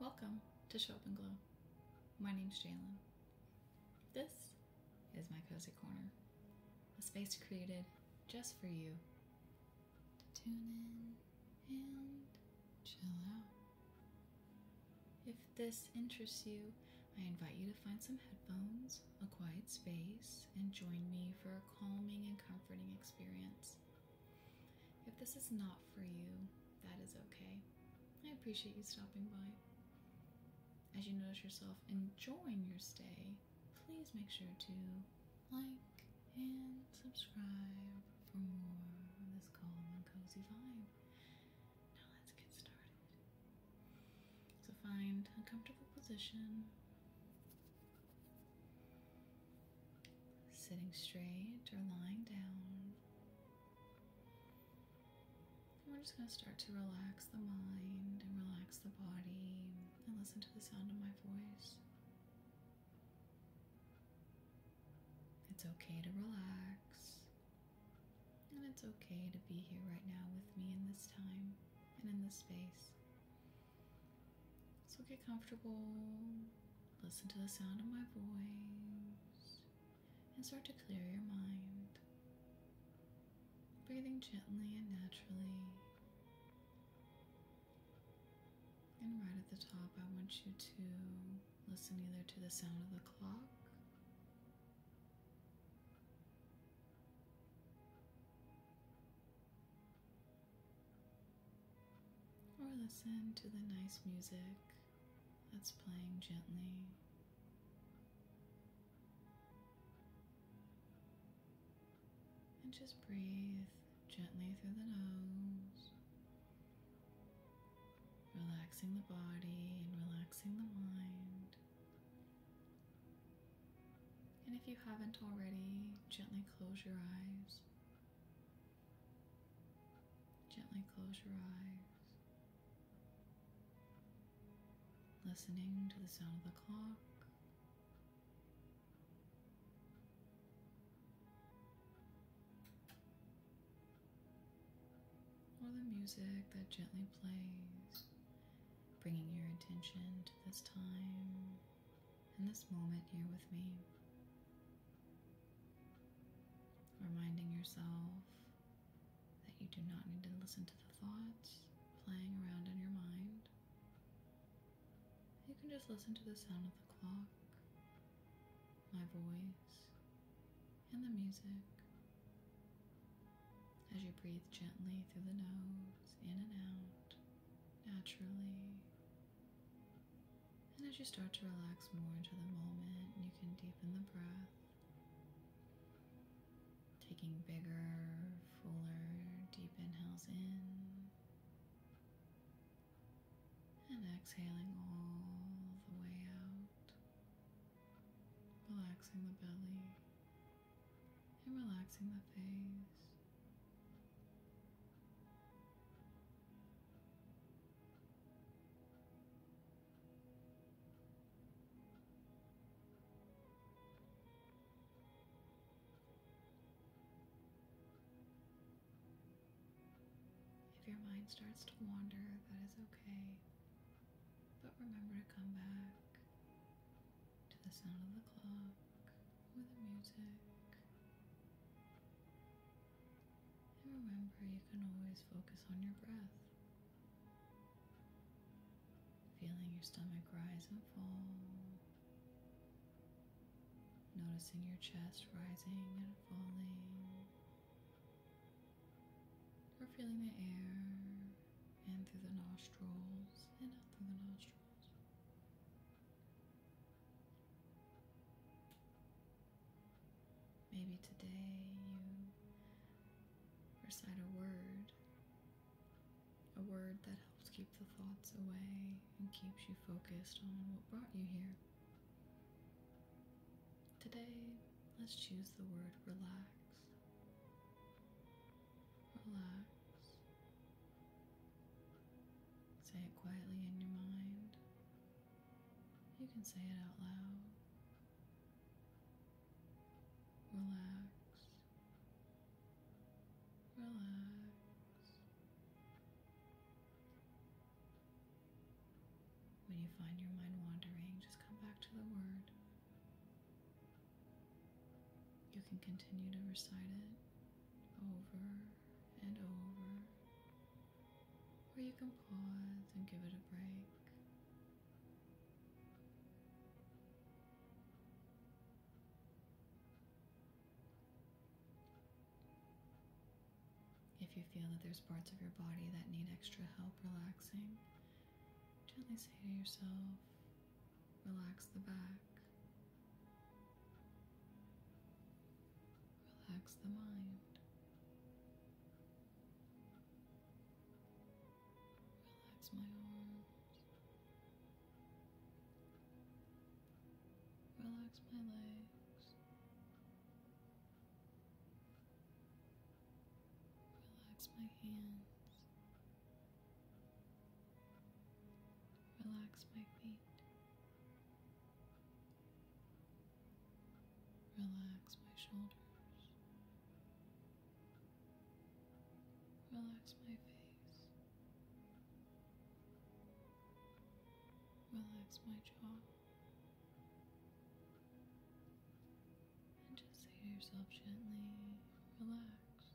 Welcome to Show Up and Glow. My name is Jalen. This is my cozy corner, a space created just for you to tune in and chill out. If this interests you, I invite you to find some headphones, a quiet space, and join me for a calming and comforting experience. If this is not for you, that is okay. I appreciate you stopping by. As you notice yourself enjoying your stay, please make sure to like and subscribe for more of this calm and cozy vibe. Now let's get started. So find a comfortable position. Sitting straight or lying down. And we're just going to start to relax the mind and relax the body and listen to the sound of my voice. It's okay to relax. And it's okay to be here right now with me in this time and in this space. So get comfortable, listen to the sound of my voice, and start to clear your mind. Breathing gently and naturally. And right at the top, I want you to Listen either to the sound of the clock or listen to the nice music that's playing gently. And just breathe gently through the nose relaxing the body and relaxing the mind. And if you haven't already, gently close your eyes. Gently close your eyes. Listening to the sound of the clock or the music that gently plays, bringing your attention to this time and this moment here with me. Reminding yourself that you do not need to listen to the thoughts playing around in your mind. You can just listen to the sound of the clock my voice, and the music. As you breathe gently through the nose, in and out, naturally. And as you start to relax more into the moment, you can deepen the breath, taking bigger, fuller, deep inhales in and exhaling all the way out, relaxing the belly and relaxing the face. If your mind starts to wander, that is okay. But remember to come back to the sound of the clock or the music. And remember, you can always focus on your breath. Feeling your stomach rise and fall. Noticing your chest rising and falling, or feeling the air in through the nostrils and out through the nostrils. Maybe today you recite a word, a word that helps keep the thoughts away and keeps you focused on what brought you here. Today, let's choose the word relax. Relax. Say it quietly in your mind. You can say it out loud. Relax. Relax. When you find your mind wandering, just come back to the word. You can continue to recite it over and over, or you can pause and give it a break. If you feel that there's parts of your body that need extra help relaxing, gently say to yourself, relax the back, relax the mind, relax my arms, Relax my legs. Relax my hands. Relax my feet. Relax my shoulders. Relax my face relax my jaw, and just say to yourself gently, relax,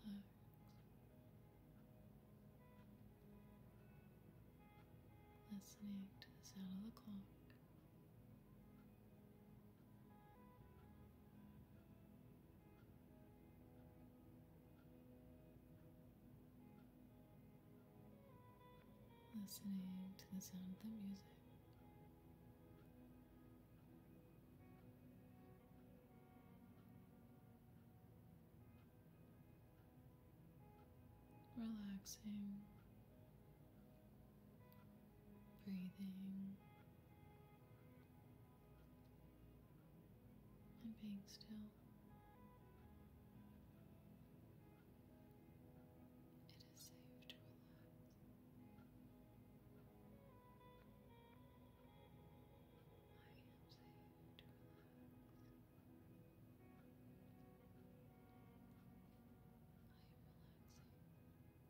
relax. Listening to the sound of the clock Listening to the sound of the music. Relaxing breathing and being still. It is safe to relax. I am safe to relax. I am relaxing.